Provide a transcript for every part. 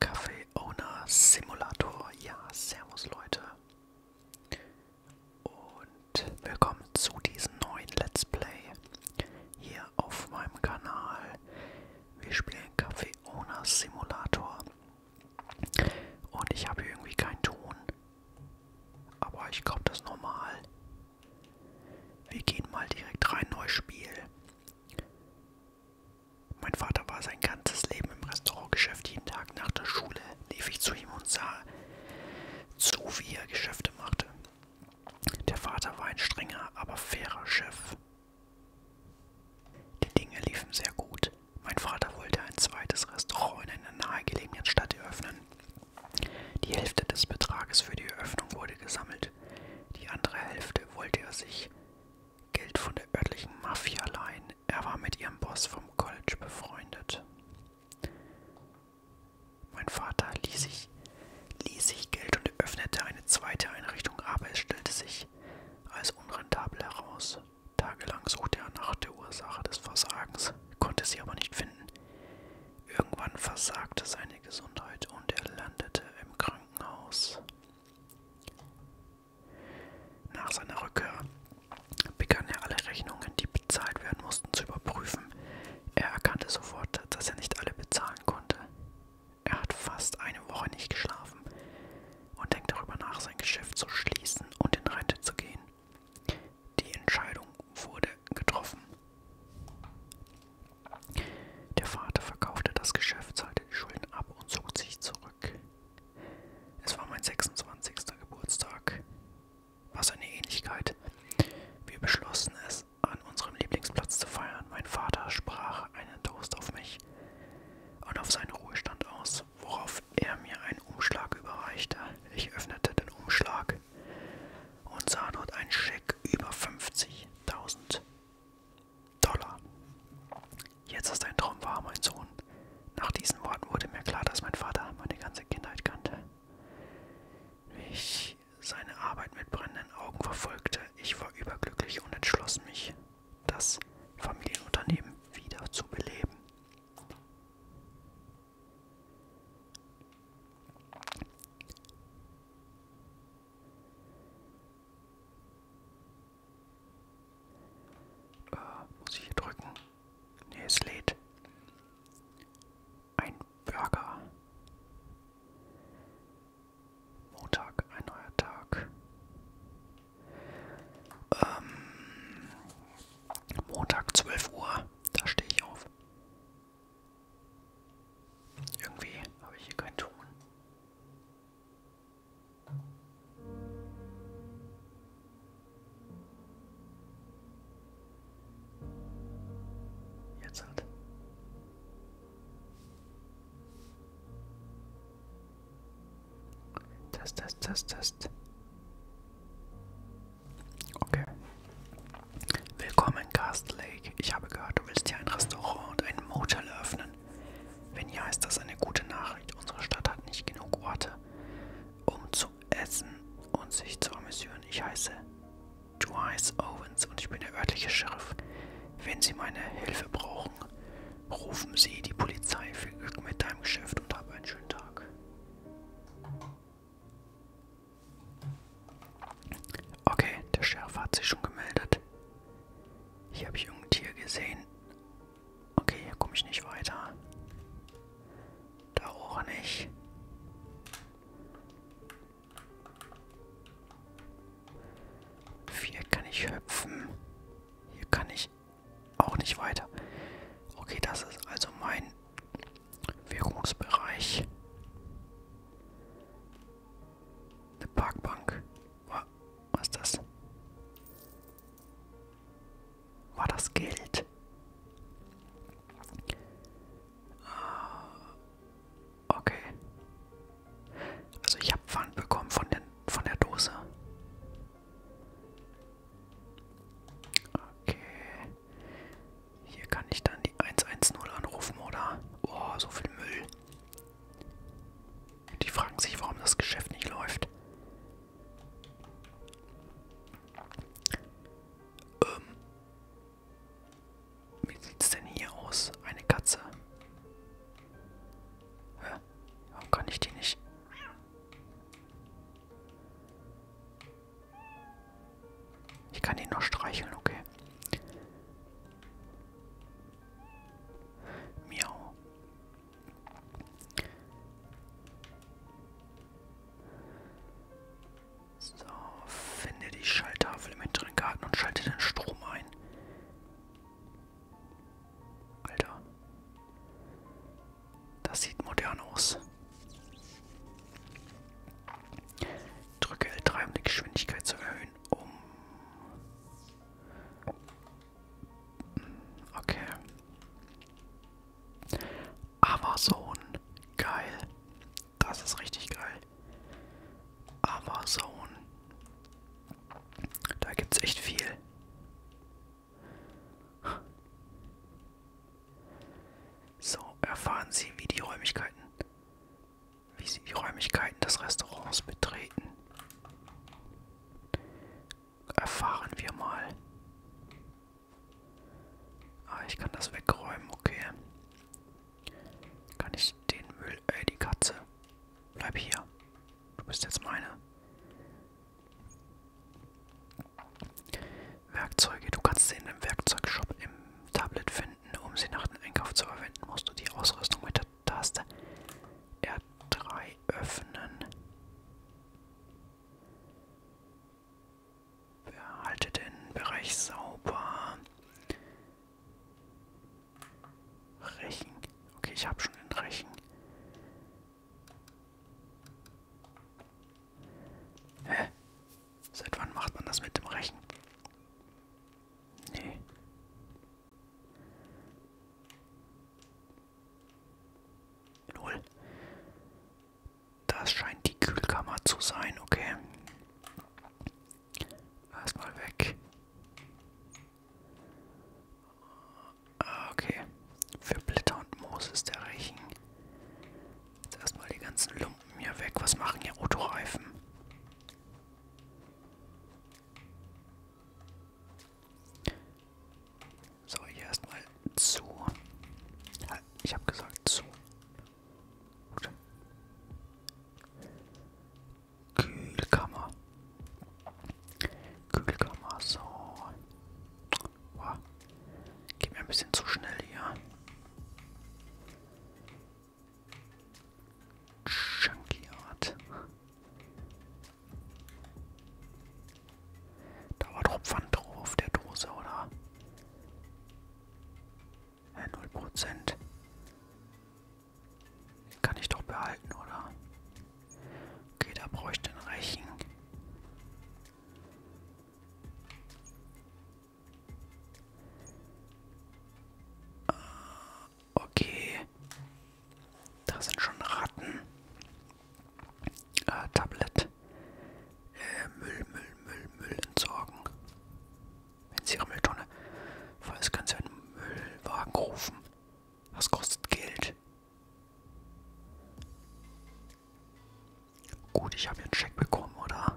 Café Owner Simulator. Ja, servus Leute. Und willkommen zu diesem neuen Let's Play hier auf meinem Kanal. Wir spielen Café Owner Simulator. Und ich habe irgendwie keinen Ton. Aber ich glaube, das ist normal. Wir gehen mal direkt rein, neues Spiel. Mein Vater war sein ganzes Leben im Restaurantgeschäft. Jeden Tag nach der Schule lief ich zu ihm und sah zu, wie er Geschäfte machte. Der Vater war ein strenger, aber fairer Chef. Die Dinge liefen sehr gut. Mein Vater wollte ein zweites Restaurant in einer nahegelegenen Stadt eröffnen. Die Hälfte des Betrages für die Eröffnung wurde gesammelt. Die andere Hälfte wollte er sich Geld von der örtlichen Mafia leihen. Er war mit ihrem Boss vom College befreundet. Mein Vater ließ sich, ließ sich Geld und öffnete eine zweite Einrichtung, aber es stellte sich als unrentabel heraus. Tagelang suchte er nach der Ursache des Versagens, konnte sie aber nicht finden. Irgendwann versagte seine Gesundheit und er landete im Krankenhaus. Nach seiner Rückkehr begann er alle Rechnungen, die bezahlt werden mussten, zu überprüfen. Er erkannte sofort, dass er nicht alle bezahlen konnte. Er hat fast eine Woche nicht geschlafen und denkt darüber nach, sein Geschäft zu schließen und in Rente zu gehen. Die Entscheidung wurde getroffen. Der Vater verkaufte das Geschäft, zahlte die Schulden ab und zog sich zurück. Es war mein 26. Geburtstag. Was eine Ähnlichkeit. Wir beschlossen es, an unserem Lieblingsplatz zu feiern. Mein Vater sprach einen Toast auf mich und auf seinen Ruhestand aus, worauf worauf er mir einen Umschlag überreichte. Ich öffnete den Umschlag und sah dort einen Scheck über 50.000 Dollar. Jetzt ist dein Traum wahr, mein Sohn. Nach diesen Worten wurde mir klar, dass mein Vater meine ganze Kindheit kannte. Ich seine Arbeit mit brennenden Augen verfolgte. Ich war überglücklich und entschloss mich, das Familienunternehmen wieder zu beleben. Äh, muss ich hier drücken? Ne, es lädt. Ein Burger. Montag, ein neuer Tag. Ähm, Montag 12 Uhr, da stehe ich auf. Irgendwie habe ich hier keinen Ton. Jetzt halt. Test, test, test, test. Okay. Willkommen, Cast Lake. Ich habe gehört, du willst hier ein Restaurant und einen Motel öffnen. Wenn ja, ist das eine gute Nachricht. Unsere Stadt hat nicht genug Orte, um zu essen und sich zu amüsieren. Ich heiße Dwight Owens und ich bin der örtliche Sheriff. Wenn Sie meine Hilfe brauchen, Rufen Sie die Polizei. Viel Glück mit deinem Geschäft und hab einen schönen Tag. Okay, der Sheriff hat sich schon gemeldet. Hier habe ich irgendein Tier gesehen. Okay, hier komme ich nicht weiter. Da auch nicht. Vier kann ich hüpfen. Hier kann ich ich auch nicht weiter. Okay, das ist also mein Wirkungsbereich. Eine Parkbank. Was ist das? War das Geld? Ah, okay. Also ich habe Pfand bekommen von, den, von der Dose. Okay. Hier kann ich dann die 110 anrufen, oder? Oh, so viel Müll. Die fragen sich, warum das Geschäft nicht läuft. Ähm. Wie sieht's denn hier aus? Eine Katze. Hä? Warum kann ich die nicht? Ich kann die nur streicheln, okay. Miau. So, finde die Schalltafel im hinteren Garten und schalte den Strom ein. Alter. Das sieht modern aus. Drücke L3, um die Geschwindigkeit zu erhöhen. Um. Hm, okay. Amazon. Geil. Das ist richtig geil. Amazon. Da gibt's echt viel. So, erfahren Sie, wie die Räumlichkeiten, wie Sie die Räumlichkeiten des Restaurants betreten. Erfahren wir mal. Ah, ich kann das wegräumen, okay. Kann ich den Müll... Ey, äh, die Katze. Bleib hier. Du bist jetzt meine. Werkzeuge. Du kannst sie in dem Werkzeugshop im Tablet finden. Um sie nach dem Einkauf zu verwenden, musst du die Ausrüstung mit der Taste R3 öffnen. Behalte den Bereich sauber. Rechen. Okay, ich habe schon den Rechen. Hä? Seit wann macht man das mit dem Rechen? Nee. Null. Das scheint die Kühlkammer zu sein, okay. Erstmal weg. Ah, okay. Für Blätter und Moos ist der Rechen. Jetzt erstmal die ganzen Lumpen hier weg. Was machen hier Autoreifen? So, hier erstmal zu. Ich habe gesagt zu. Gut. Kühlkammer. Kühlkammer, so. Boah. Geht mir ein bisschen zu schnell hier. Junkyard. Da war doch Pfand drauf auf der Dose, oder? Äh, 0%. Kann ich doch behalten, oder? Okay, da brauche ich den Rechen. Äh, okay. Da sind schon Ratten. Äh, Tablet. Äh, Müll, Müll, Müll, Müll entsorgen wenn sie ihre Mülltonne voll ist, kann sie einen Müllwagen rufen. Das kostet Geld. Gut, ich habe einen Scheck bekommen, oder?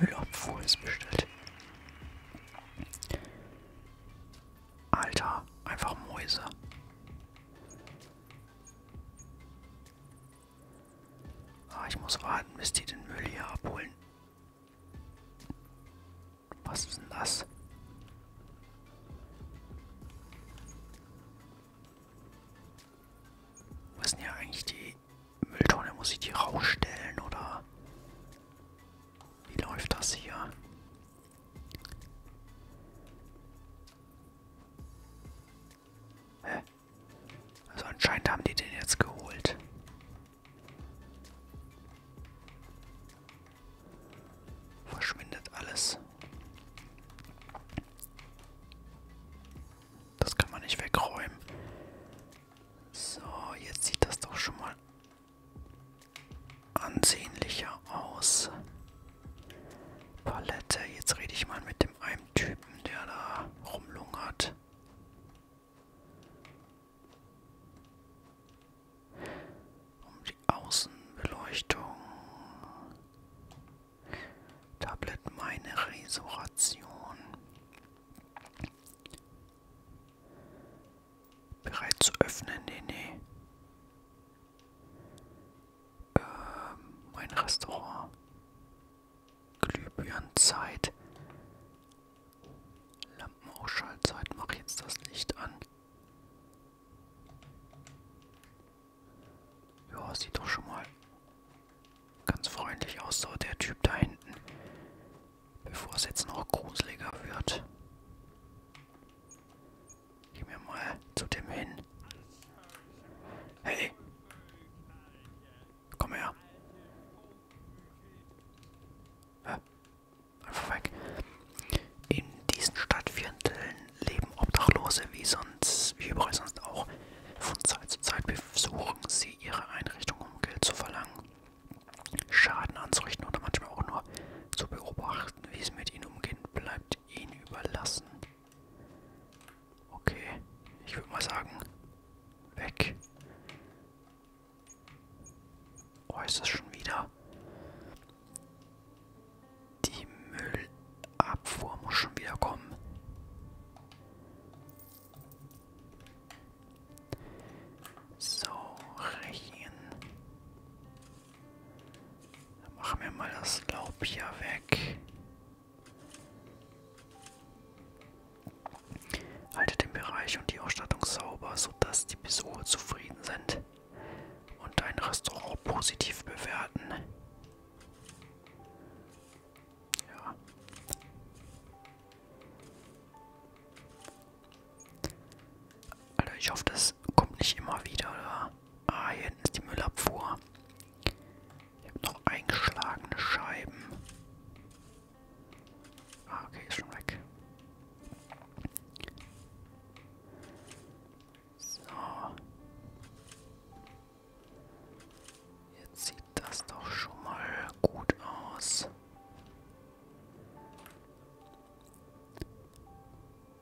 Müllabfuhr ist bestellt. Alter, einfach Mäuse. Ah, ich muss warten, bis die den Müll hier abholen. Was ist denn das? Wo ist denn hier eigentlich die Mülltonne? Muss ich die rausstellen oder wie läuft das hier? Hä? Also anscheinend haben die den jetzt geholt. Verschwindet alles. Das kann man nicht wegräumen. So, jetzt sieht das doch schon mal ansehnlicher aus. Palette. Jetzt rede ich mal mit dem einen Typen, der da rumlungert. Um die Außenbeleuchtung. Tablet meine Resurration. Bereit zu öffnen? Nee, nee ähm, ein Restaurant. Glühbirnenzeit. Lampenausschaltzeit. Mach jetzt das Licht an. Ja, sieht doch schon mal ganz freundlich aus, so der Typ da hinten. Bevor es jetzt noch gruseliger wird. Geh mir mal zu dem hin. Hey. Komm her. Äh, einfach weg. In diesen Stadtvierteln leben Obdachlose wie sonst, wie überall sonst auch. Von Zeit zu Zeit besuchen sie ihre Einrichtung, um Geld zu verlangen, Schaden anzurichten oder manchmal auch nur zu beobachten, wie es mit ihnen umgehen bleibt wird ihn überlassen. Okay, ich würde mal sagen, weg. Oh, ist das schon wieder? Die Müllabfuhr muss schon wieder kommen. So, rechnen. Dann machen wir mal das Laub hier weg. Halte den Bereich und die Ausstattung sauber, sodass die Besucher zufrieden sind und dein Restaurant positiv bewerten. Ja. Alter, ich hoffe, das das kommt nicht immer wieder, oder? Ah, hier hinten ist die Müllabfuhr. Ich habe noch eingeschlagene Scheiben. Ah, okay, ist schon weg. So. Jetzt sieht das doch schon mal gut aus.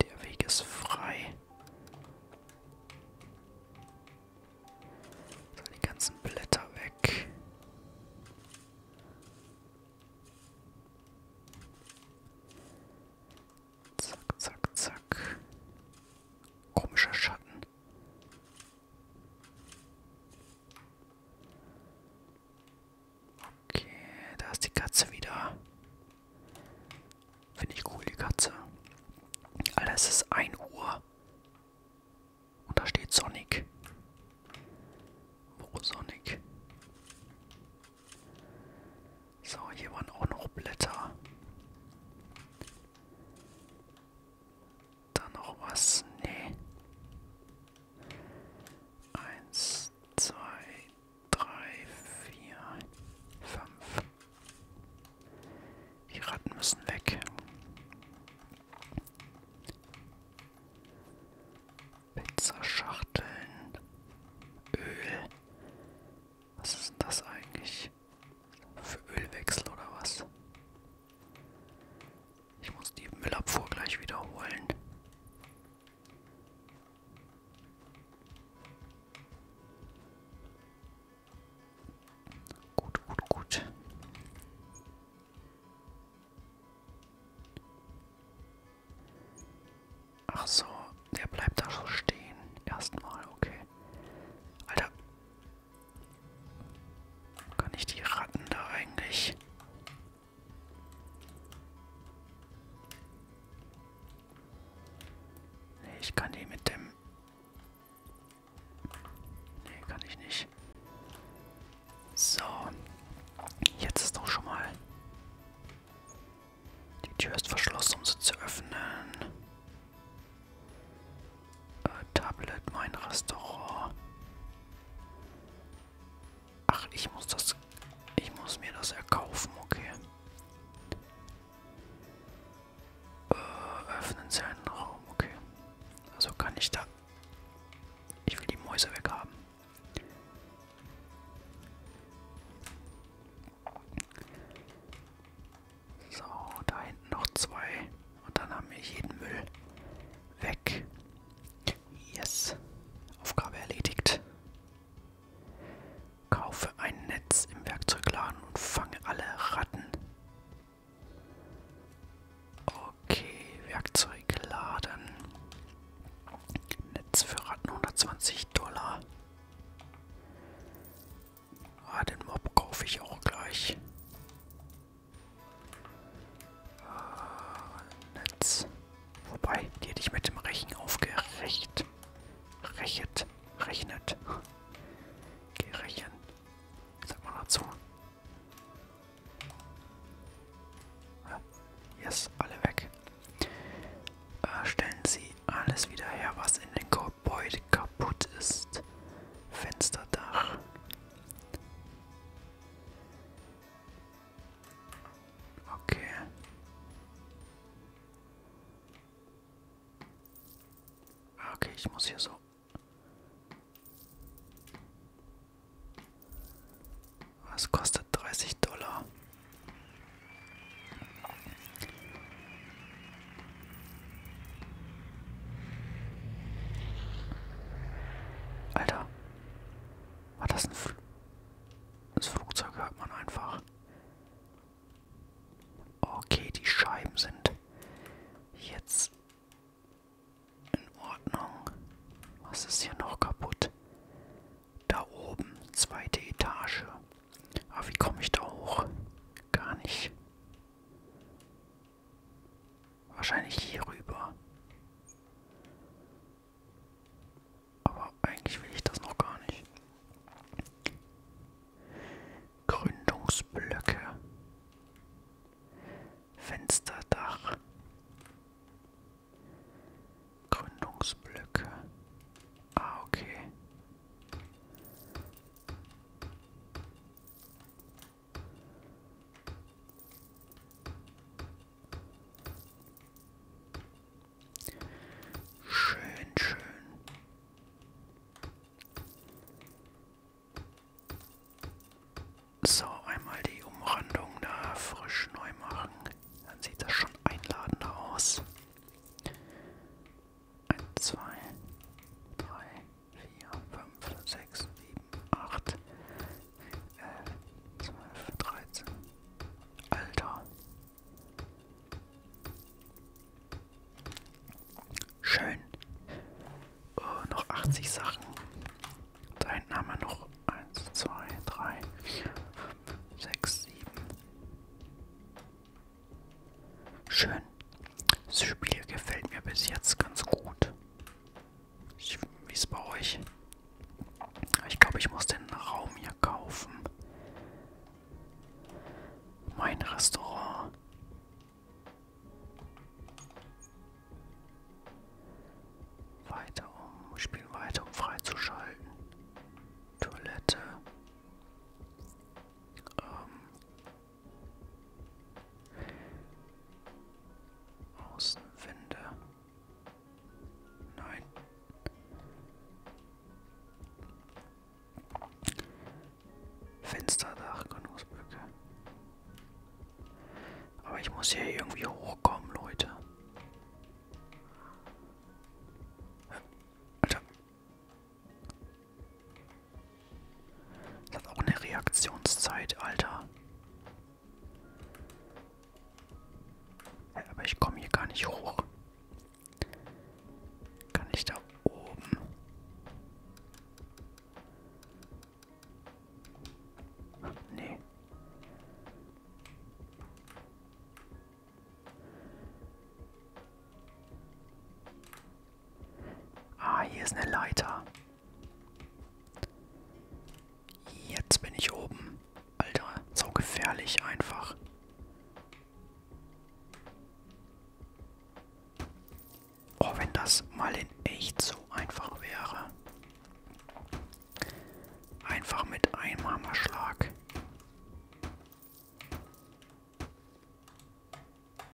Der Weg ist frei. So, die ganzen Blätter weg. Zack, zack, zack. Komischer Schatten. Okay, da ist die Katze wieder. Finde ich cool, die Katze. Alter, es ist 1 Uhr. Und da steht Sonic. Wo Sonic? So, hier waren auch noch Blätter. Da noch was? Nee. Eins, zwei, drei, vier, fünf. Die Ratten müssen weg. Pizzaschachteln. Öl. Was ist denn das eigentlich? Für Ölwechsel oder was? Ich muss die Müllabfuhr gleich wiederholen. Gut, gut, gut. Ach so, der bleibt da so stehen. Erstmal, okay. Alter. Kann ich die Ratten da eigentlich Nee, ich kann die mit dem... Nee, kann ich nicht. So. Jetzt ist doch schon mal... Die Tür ist verschlossen, um sie zu öffnen. Äh, Tablet, mein Restaurant. Ach, ich muss das. Ich muss mir das erkaufen, okay. Äh, öffnen Sie einen Raum, okay. Also kann ich da. Ich will die Mäuse weghaben. So, da hinten noch zwei. Und dann haben wir jeden Müll weg. Äh, Yes. Aufgabe erledigt. Kaufe ein Netz im Werkzeugladen und fange alle Ratten. Okay, Werkzeugladen. Netz für Ratten 120 Dollar. Ah, den Mob kaufe ich auch gleich. Netz. Wobei, die hätte ich mit dem Rechen aufgerecht. Rechet. Rechnet. Gerechen. Sag mal dazu. Yes, alle weg. Äh, stellen Sie alles wieder her, was in den Gebäude kaputt ist. Fensterdach. Okay. Okay, ich muss hier so. Was kostet 30 Dollar? Alter, war das ein Fl Das Flugzeug hört man einfach. Okay, die Scheiben sind jetzt in Ordnung. Was ist hier noch kaputt? Da oben, zweite Etage. Aber wie komme ich da hoch? Gar nicht. Wahrscheinlich hier rüber. Aber eigentlich will ich das noch gar nicht. Gründungsblöcke. Fensterdach. Gründungsblöcke. Ah, okay. Schön, schön. So, einmal die Umrandung da frisch neu machen. Dann sieht das schon einladender aus. 1, 2, 3, 4, 5, 6, 7, 8, 11, 12, 13. Alter. Schön. Oh, noch 80 Sachen. Da hinten haben wir noch 1, 2, 3, 4, 5, 6, 7. Schön. Das Spiel gefällt mir bis jetzt ganz gut. Wie ist bei euch? Ich glaube, ich muss den Raum hier kaufen. Mein Restaurant. Weiter um. Spiel weiter, um freizuschalten. Toilette. Ähm, Außenwände. Nein. Fensterdach, Genussbrücke. Aber ich muss hier irgendwie hochkommen, Leute. Alter. Das hat auch eine Reaktionszeit, Alter. Aber ich komme hier gar nicht hoch. Kann ich da oben? Nee. Ah, hier ist eine Leiter. Jetzt bin ich oben. Alter, so gefährlich einfach. Oh, wenn das mal in echt so einfach wäre. Einfach mit einem Hammerschlag.